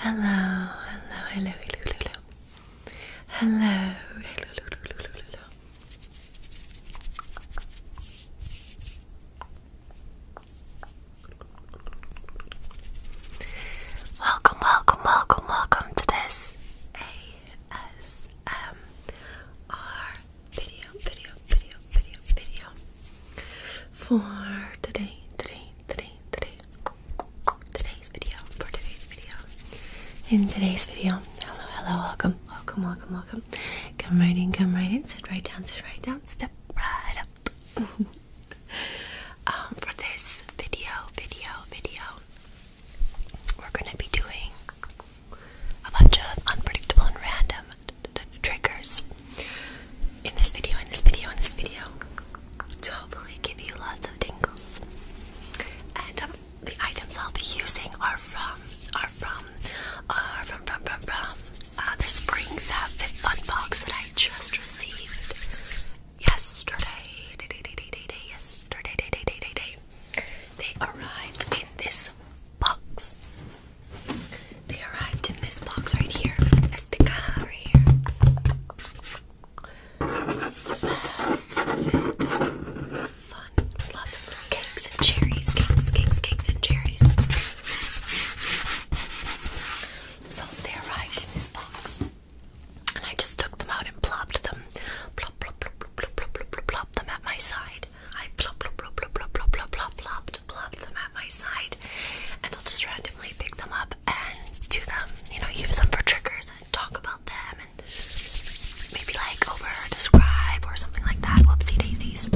Hello, hello, hello, hello, hello, hello, hello, hello, hello, hello. Welcome, welcome, welcome, welcome to this ASMR video, video, video, video, video for today, today, today, today, today's video, for today's video. In today's video, hello, hello, welcome, welcome, welcome, welcome. Come right in, come right in, sit right down, sit right down, step right up. um, for this video, video, video, we're gonna be doing a bunch of unpredictable and random triggers in this video, in this video, in this video to hopefully give you lots of tingles. And um, the items I'll be using are from, are from, are from, from, from, from uh, the Spring Fab Fit Fun box that I just received yesterday. yesterday, They arrived in this box. They arrived in this box right here. It's the caja right here. Fun. Fun. Lots of cakes and cherries. Cakes, cakes, cakes, and cherries. So they arrived in this box. And I just took them out and plopped them. Plop, them at my side. I plop, plop, plop, plop, plop, plop, plop, plop, plopped, them at my side. And I'll just randomly pick them up and do them, you know, use them for triggers and talk about them and maybe like over describe or something like that. Whoopsie daisies.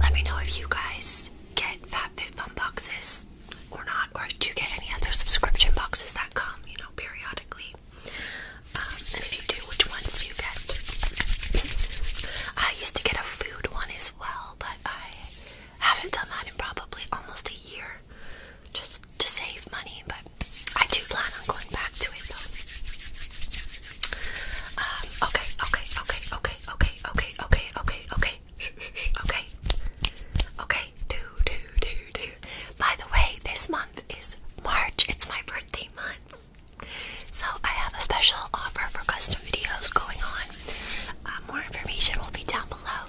Let me know if you guys get FatFitFun boxes or not, or if you get any other subscription boxes that come, you know, periodically. Um, and if you do, which ones you get. I used to get a food one as well, but I haven't done that in probably almost a year just to save money, but I do plan on going back to it though. Um, okay, okay, okay, okay, okay, okay, okay, okay, okay. okay. Okay, do, do, do, do. By the way, this month is March. It's my birthday month. So I have a special offer for custom videos going on. Uh, more information will be down below.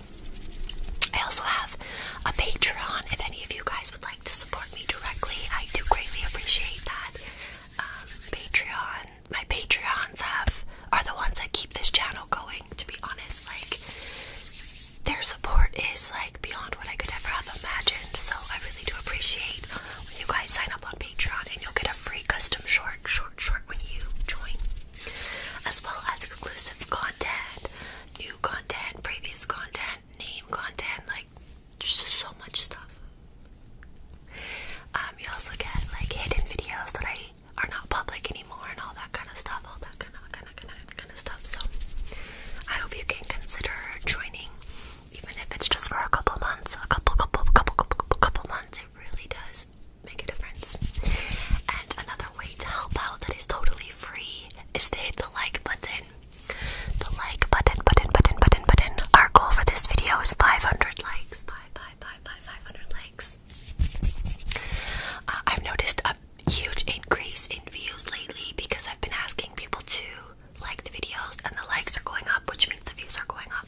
I also have a Patreon if any of you guys would like to support me directly. I do greatly appreciate that. Um, Patreon, my Patreons have are the ones that keep this channel going. To be honest, like their support is like beyond what I could ever have imagined. So I really do appreciate when you guys sign up on Patreon, and you'll get a free custom short, short, short when you join, as well as exclusive content, new content, previous content, name content, like there's just so much stuff. Um, you also get like hidden videos that I are not public anymore, and all that kind of stuff, all that kind of kind of kind of kind of stuff. So I hope you can consider joining even if it's just for a couple months, a couple, couple, couple, couple, couple months, it really does make a difference. And another way to help out that is totally free is to hit the like button. The like button, button, button, button, button. Our goal for this video is 500 likes. Bye, likes. Uh, I've noticed a huge increase in views lately because I've been asking people to like the videos and the likes are going up, which means the views are going up.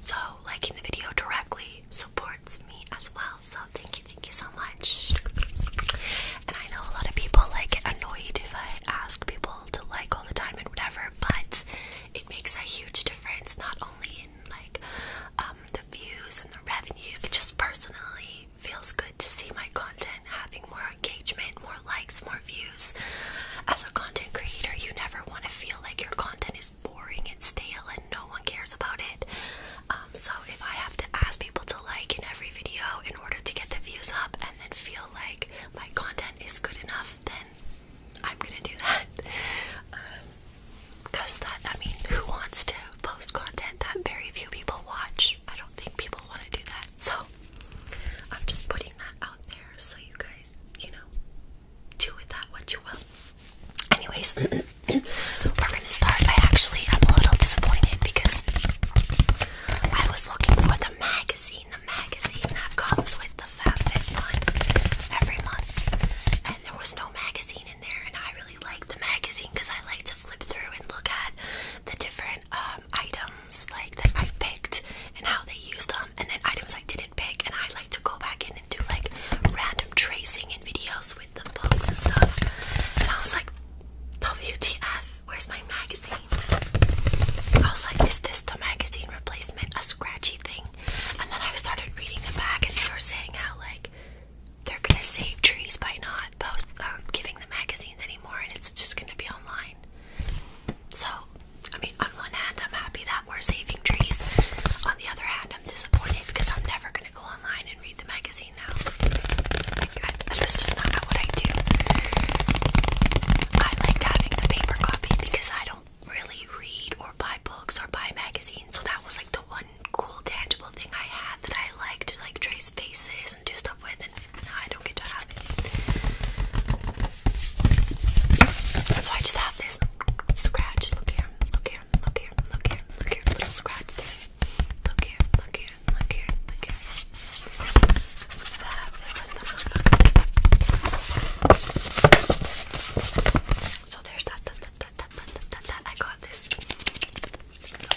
So liking the video directly supports me as well. So thank you, thank you so much. And I know a lot of people like annoyed if I ask people to like all the time and whatever, but it makes a huge difference not only in like um, the views and the revenue, it just personally feels good to see my content having more engagement, more likes, more views. As a content creator, you never want to feel like your content is boring and stale and no one cares about it. Um, so if I have to ask people to like in every video in order to get the views up and then feel like my content is good enough, then I'm gonna do that. Um, Cause that, I mean, who wants to post content that very few people watch? I don't think people want to do that. So I'm just putting that out there so you guys, you know, do with that what you will. Anyways, we're gonna start. I actually am a little disappointed because I was looking for the magazine, the magazine that comes with the Fat Fit FabFitFun every month, and there was no magazine in there. And I really like the magazine because I like to flip through and look at the different um, items like that I picked and how they use them and then items I didn't pick, and I like to go back in and do like random tracing and videos with the books and stuff. And I was like, WTF, where's my magazine? I was like, is this the magazine replacement? A scratchy thing. And then I started reading the back, and they were saying how like they're gonna save trees by not um, giving the magazines anymore, and it's just gonna be online. So I mean, on one hand, I'm happy that we're saving trees. On the other hand, I'm disappointed because I'm never going to go online and read the magazine now. Like, I, that's just not what I do. I liked having the paper copy because I don't really read or buy books or buy magazines. So that was like the one cool, tangible thing I had that I liked to like trace faces and do stuff with. I don't get to have it. So I just have this scratch. Look here, look here, look here, look here, look here, little scratch thing. Look here, look here, look here, look here. So there's that, that, that, that, that, that, that. I got this.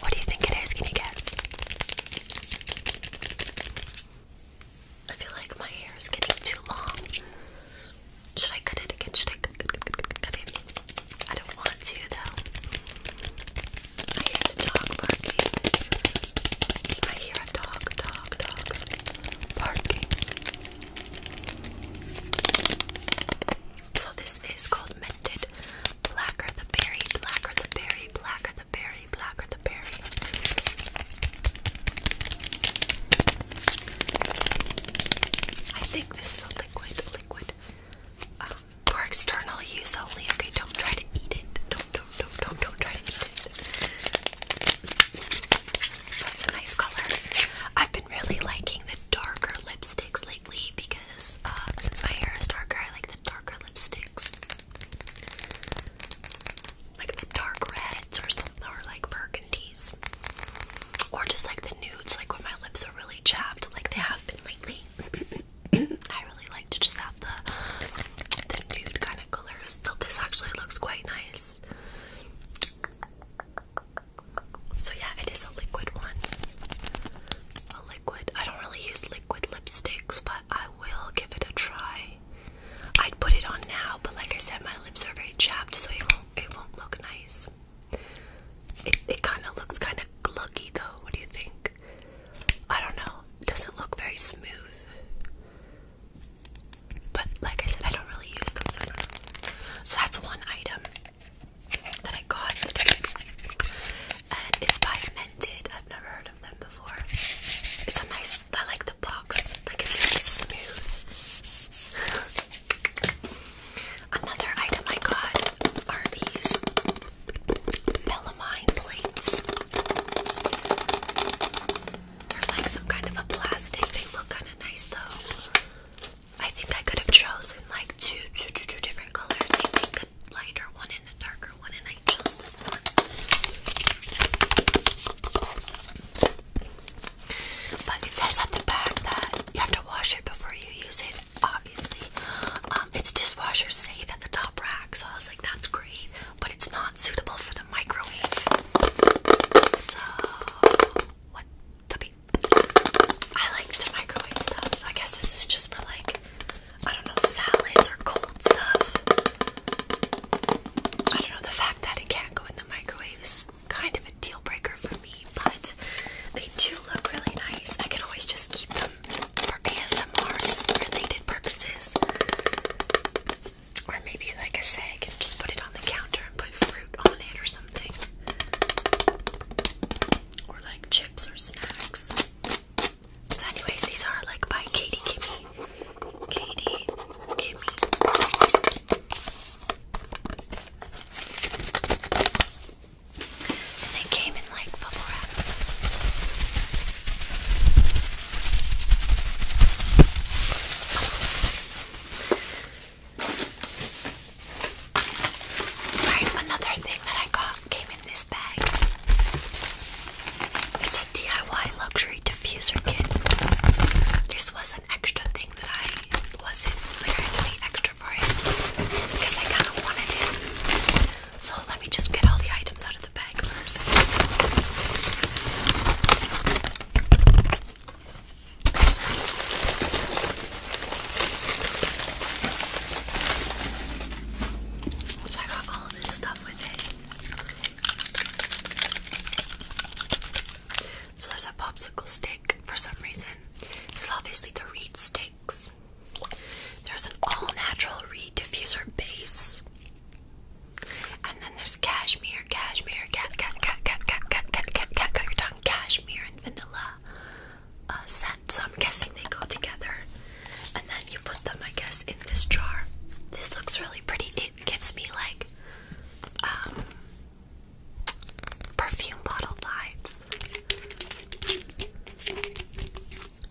What do you think it is? Can you guess? I feel like my hair is getting too long. Should I cut it again? Should I cut, cut, cut, cut, cut it? I don't want to though. I hear the dog barking. I hear a dog, dog, dog barking. So this is called Minted Blacker the Berry, Blacker the Berry, Blacker the Berry. I think this is a liquid, liquid. Um, for external use only. don't try to eat it. Don't, don't, don't, don't, try to eat it. That's a nice color. I've been really liking the darker lipsticks lately because uh, since my hair is darker, I like the darker lipsticks. Like the dark reds or something, or like burgundies. Or just like the nudes, like when my lips are really chapped, like they have been lately. I really like to just have the, the nude kind of colors. So this actually looks quite nice. So yeah, it is a liquid one. A liquid. I don't really use liquid lipsticks, but I will give it a try. I'd put it on now, but like I said, my lips are very chapped, so it won't it won't look nice. It kind of looks kind of glucky though. What do you think? I don't know. It doesn't look very smooth. But like I said, I don't really use them, so I don't know. So that's one item that I got, and it's by I've never heard of them before. It's a nice. I like the box. Like it's really smooth. Another item I got are these melamine plates. They're like some kind of a plastic. They look kind of nice though. I think I could have chosen like two, two, two, two different colors. I a lighter one and a darker one, and but it says at the back that you have to wash it before you use it, obviously. Um, it's dishwasher safe at the top rack, so I was like, that's great, but it's not suitable for the microwave. So, what the beep? I like to microwave stuff, so I guess this is just for like I don't know, salads or cold stuff. I don't know, the fact that it can't go in the microwave is kind of a deal breaker for me, but they do look really nice. I can always just keep them for ASMR related purposes. Or maybe, like I say, I can just put it on the counter and put fruit on it or something. Or like chips or snacks. So anyways, these are like by Katie Kimmy. Katie Kimmy. they came in like bubble wrap. another thing that I got came in this bag. DIY luxury diffuser kit. This was an extra thing that I wasn't like to pay extra for it because I kind of wanted it. So let me just get all the items out of the bag first. So I got all this stuff with it. So there's a popsicle stick for some reason. There's obviously the reed sticks. There's an all-natural reed diffuser base. And then there's cashmere, cashmere, cat, cat, cat, cat, cat, cat, cat, cat, cat, got your tongue, cashmere and vanilla uh, scent. So I'm guessing they go together and then you put them, I guess, in this jar. This looks really pretty. It gives me like um, perfume bottle vibes.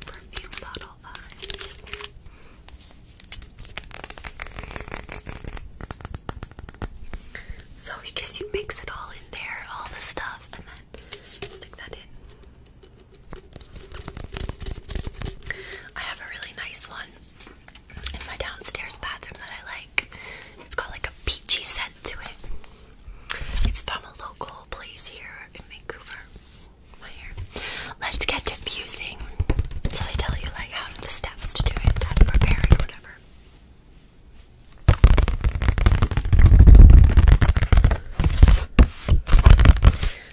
Perfume bottle vibes. So I you mix it all in there, all the stuff, and then stick that in. I have a really nice one in my downstairs bathroom that I like. It's got like a peachy scent to it. It's from a local place here in Vancouver. Let's get diffusing. So they tell you like how the steps to do it, how to prepare it, or whatever.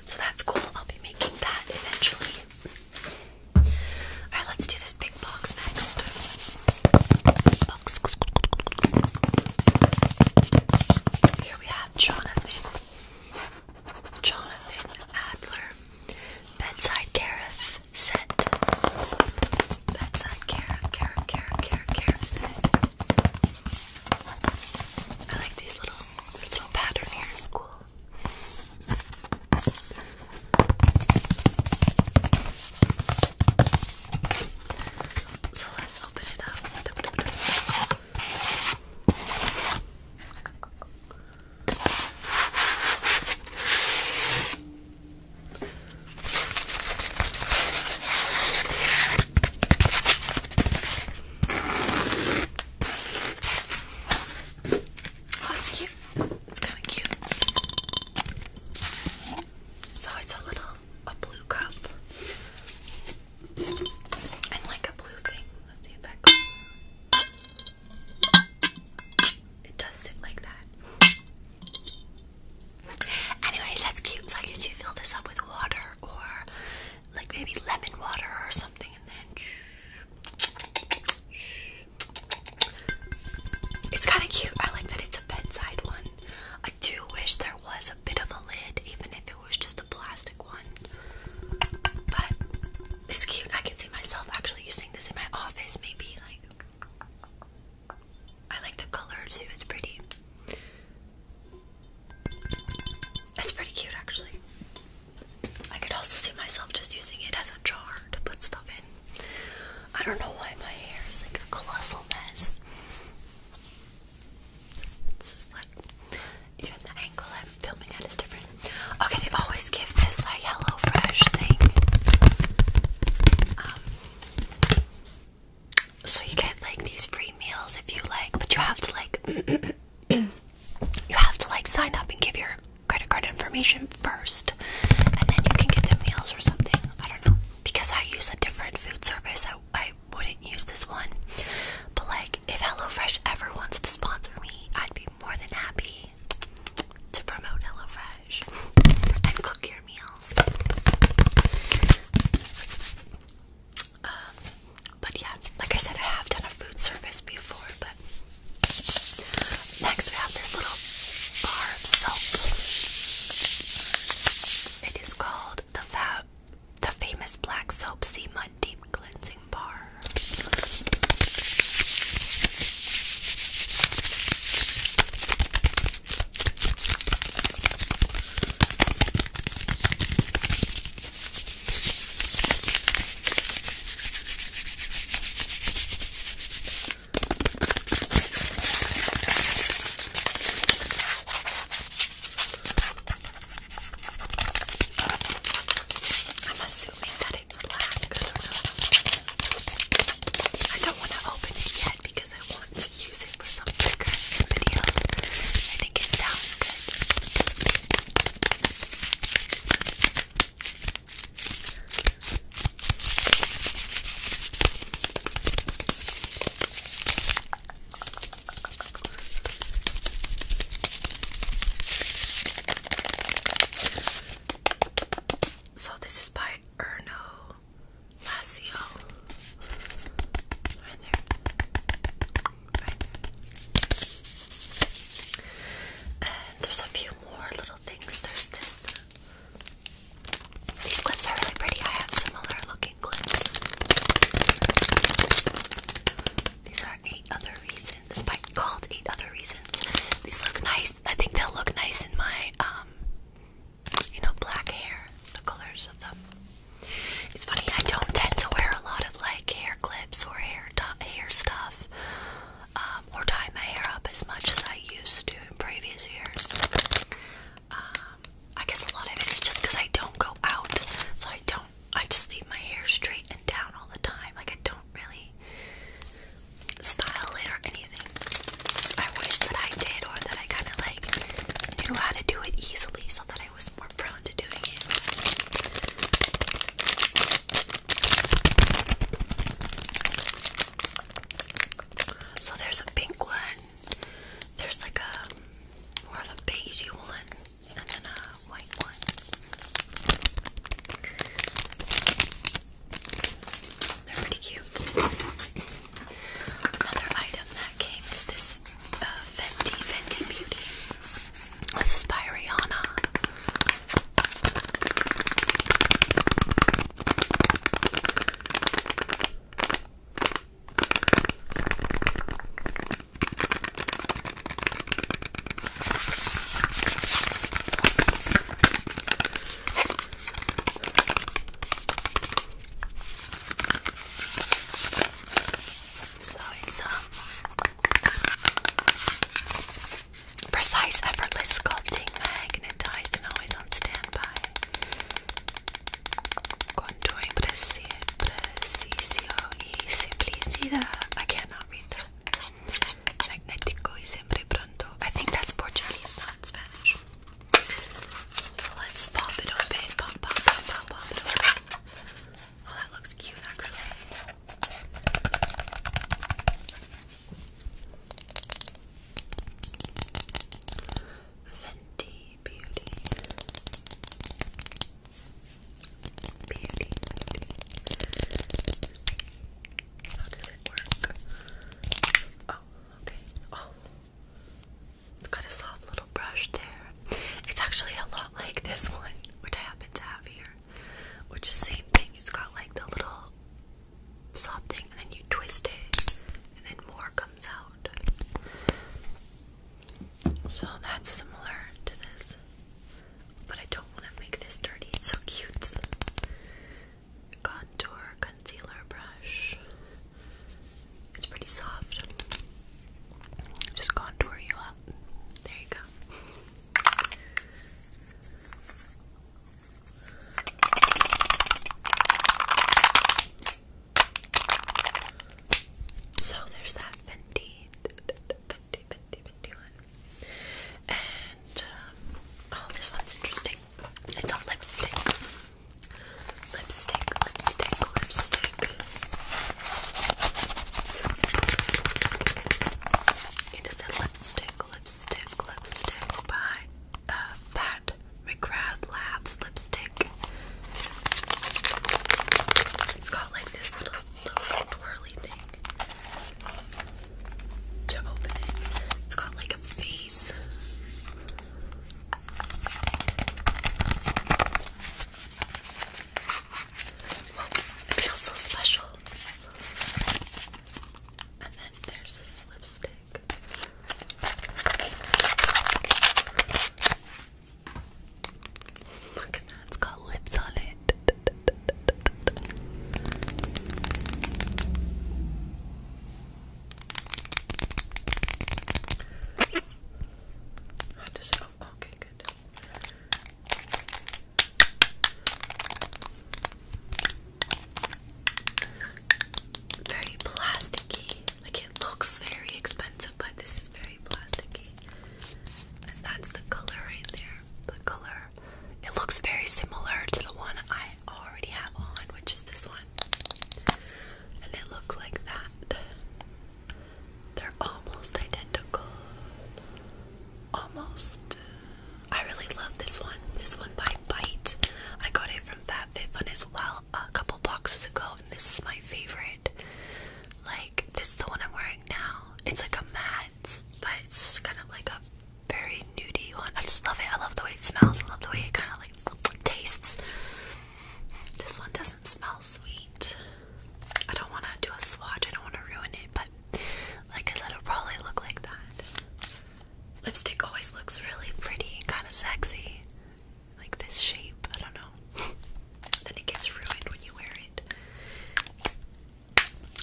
So that's cool. I'll be making that eventually. Alright, let's do this big box next. Here we have Jonathan. Jonathan Adler. Bedside Gareth set. Bedside Gareth, Gareth, Gareth, Gareth, Gareth set. I like these little this little pattern here is cool. So let's open it up. Oh, it's cute. It's kind of cute. So it's a little a blue cup and like a blue thing. Let's see It does sit like that. Anyways, that's cute. So I guess you fill this up with water or like maybe lemon water or something, and then it's kind of cute. I like that it's a bedside one. I do wish there was a bit of a lid, even if it was just a plastic one. But it's cute. I can see myself actually using this in my office, maybe like. I like the color too, it's pretty. It's pretty cute actually. I could also see myself just using it as a jar to put stuff in. I don't know why my hair is like a colossal mess. It's just like even the angle I'm filming at is different. Okay, they always give this like Hello Fresh thing. Um, so you get like these free meals if you like, but you have to like you have to like sign up and give your credit card information first, and then you can get the meals or something. I don't know because I use a different food service. I, I wouldn't use this one, but like if HelloFresh ever wants to sponsor me, I'd be more than happy to promote HelloFresh and cook your meals. Um, but yeah, like I said, I have done a food service before, but next we have this little bar soap. It is called the Fab the famous black soap sea mud deep cleansing bar. I'm assuming that it's black. I don't want to open it yet because I want to use it for some stickers and I think it sounds good. So this is by Erno Lazio. Right there. And there's a few more little things. There's this. These clips are really pretty. I have similar looking clips. These are eight other reasons. This might called eight other reasons. These look nice. I think they'll look nice in my um you know black hair. The colors of them. It's funny, I don't tend to wear a lot of like hair clips or hair hair stuff, um, or tie my hair up as much as I used to in previous years. Um, I guess a lot of it is just because I don't go out, so I don't. I just leave my hair straight and down all the time. Like I don't really style it or anything. I wish that I did, or that I kind of like knew how to do it easily, so that I was so there's a pink one, there's like a more of a beigey one, and then a white one. They're pretty cute. Another item that came is this uh, Fenty, Fenty Beauty. This is by Rihanna. So it's a um, precise, effortless sculpting magnetized and always on standby. Contouring preciso y simplicidad. I cannot read Magnetico y siempre pronto. I think that's Portuguese, not Spanish. So let's pop it open. Oh, that looks cute actually. Fenty Beauty. Beauty. How does it work? Oh, okay. Oh. It's got a soft little brush there. It's actually a lot like this one, which I happen to have here. Which is the same thing. It's got like the little soft thing and then you twist it and then more comes out. So that's similar to this. But I don't want to make this dirty. It's so cute. Contour concealer brush. It's pretty soft. Just contour you up. There you go. So there's that Fenty, Fenty, Fenty, Fenty one. And, um, oh, this one's interesting. It's a lipstick. Lipstick, lipstick, lipstick. It is a lipstick, lipstick, lipstick by Pat uh, McGrath Labs lipstick. It's got like this little, little twirly thing to open it. It's got like a face it feels so special. And then there's lipstick. Look at that, it's got lips on it. How does it okay, good. Very plasticky. Like it looks very expensive, but this is very plasticky. And that's the color right there. The color. It looks very similar to the one I already have on, which is this one. And it looks like that. They're almost identical. Almost. I really love this one. This one by Bite. I got it from FatFitFun as well a couple boxes ago, and this is my favorite. Like, this is the one I'm wearing now. It's like a matte, but it's kind of like a very nudie one. I just love it. I love the way it smells. I love the way it kind of like tastes. This one doesn't smell sweet. I don't want to do a swatch, I don't want to ruin it, but like I said, it probably look like that. Lipstick always looks really pretty and kind of sexy. Like this shape, I don't know. then it gets ruined when you wear it.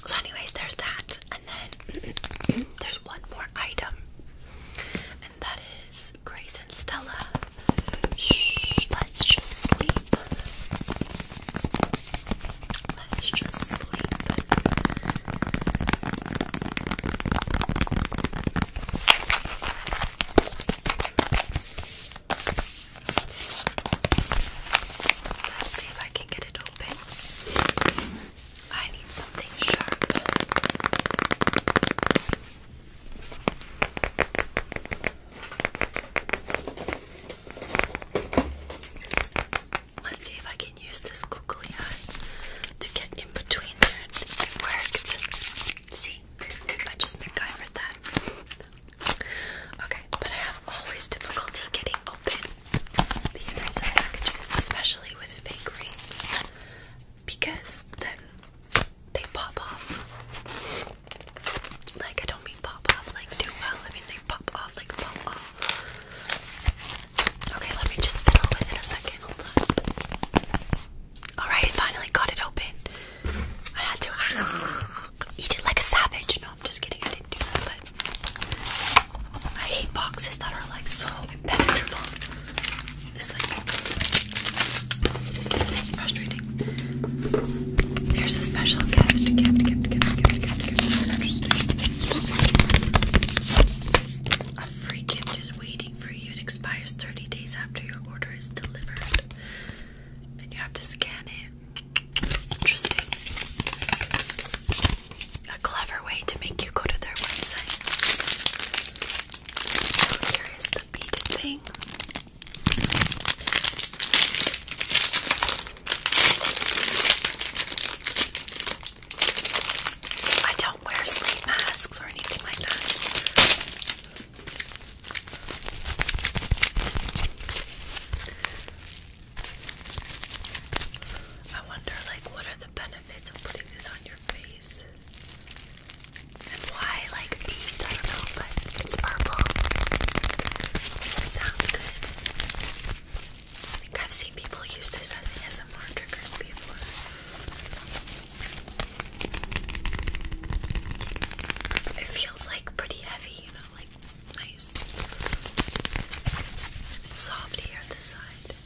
So, anyways, there's that. And then there's one more item, and that is Grace, and Stella. Shh, let's just sleep. Let's just sleep. Let's see if I can get it open. I need something sharp. Let's see if I can use this googly eye to get in between there it worked. See, I just MacGyvered that. Okay, but I have always difficulty getting open these types of packages, especially with fake rings, because then they pop off. Like I don't mean pop off like too well. I mean they pop off like pop off. Okay, let me just fiddle with it a second. Hold on. Alright, I finally got it open. I had to eat it like a savage. No, I'm just kidding, I didn't do that, I hate boxes that are like so impenetrable. It's like frustrating. There's a special gift, A free gift is waiting for you. It expires 30 days after your order is delivered. And you have to scan it. Interesting. A clever way to make you go to their website. So here is I don't wear sleep masks or anything like that. I wonder, like, what are the benefits of putting this on your face? And why like I don't know, but it's purple. sounds good. I think I've seen people use this as an ASMR trigger before. It feels like pretty heavy, you know, like nice. It's on this side.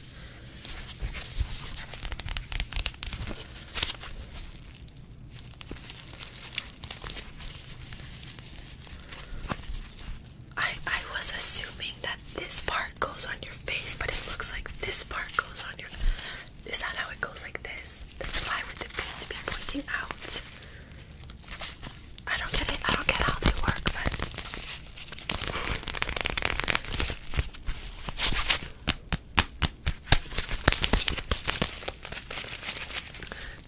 I I was assuming that this part goes on your face, but it looks like this part goes on your Is that how it goes like this? Then why would the pins be pointing out? I don't get it. I don't get how they work,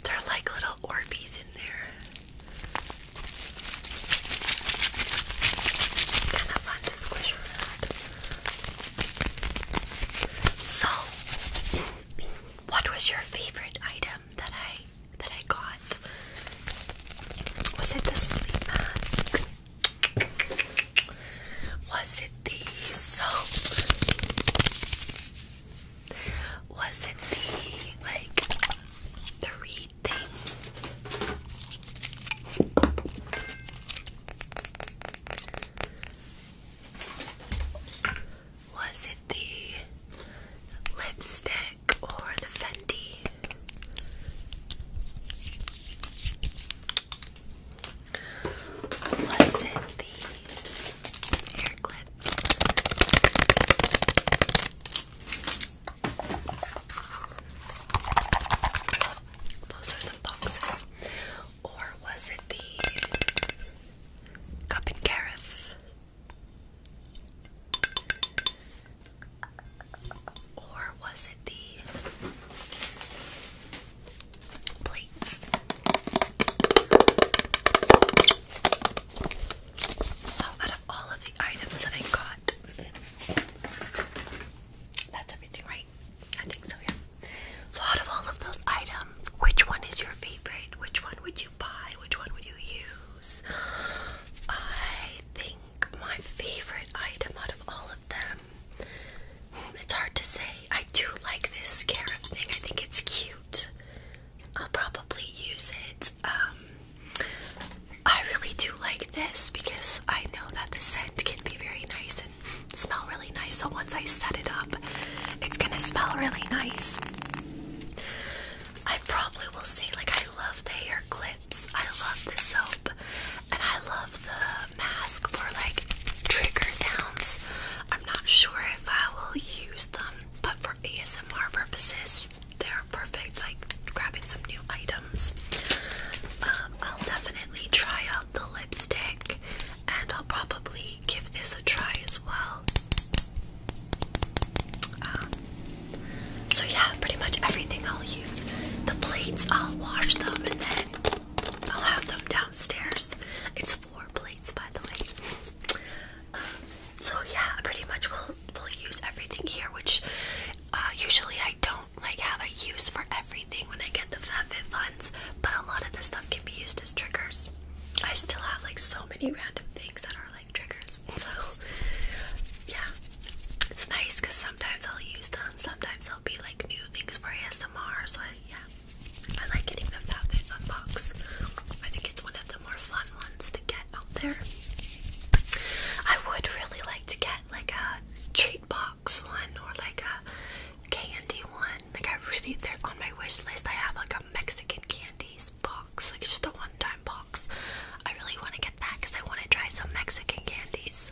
they're like little Orbeez in there. Kind of fun to squish around. So, what was your favorite item that I that I got? Was it the sleep mask? Was it these? Was it the like the reed Was it the lipstick or the Fendi? Listen the hair clip. Those are some boxes. Or was it the cup and carafe? Or was the plates. So out of all of the items that I got, that's everything, right? I think so, yeah. So out of all of those items, which one is your favorite? Which one would you buy? Which one would you use? I think my favorite item out of all of them it's hard to say. I do like this scarab thing. I think it's cute. I'll probably use it. Um, I really do like this because I know that the scent can be very nice and smell really nice. So once I set it up, it's gonna smell really nice. I probably will say like I love the hair clips. I love the soap. And I love the mask for like trigger sounds. I'm not sure if I will use them, but for ASMR purposes, they're perfect. Like grabbing some new items. Um, I'll definitely try out the lipstick, and I'll probably give this a try as well. Um, so yeah, pretty much everything I'll use. The plates, I'll wash them and then I'll have them downstairs. It's four plates, by the way. Um, so yeah, pretty much we'll we'll use everything here, which uh, usually I don't like have a use for everything when I get the FatFit funds, but a lot of this stuff can be used as triggers. I still have like so many random things that are like triggers. So yeah, it's nice because sometimes I'll use them, sometimes i will be like new I think it's for ASMR, so I, yeah, I like getting the Falcon Unbox. I think it's one of the more fun ones to get out there. I would really like to get like a treat box one or like a candy one. Like I really, they're on my wish list. I have like a Mexican candies box, like it's just a one-time box. I really want to get that because I want to try some Mexican candies.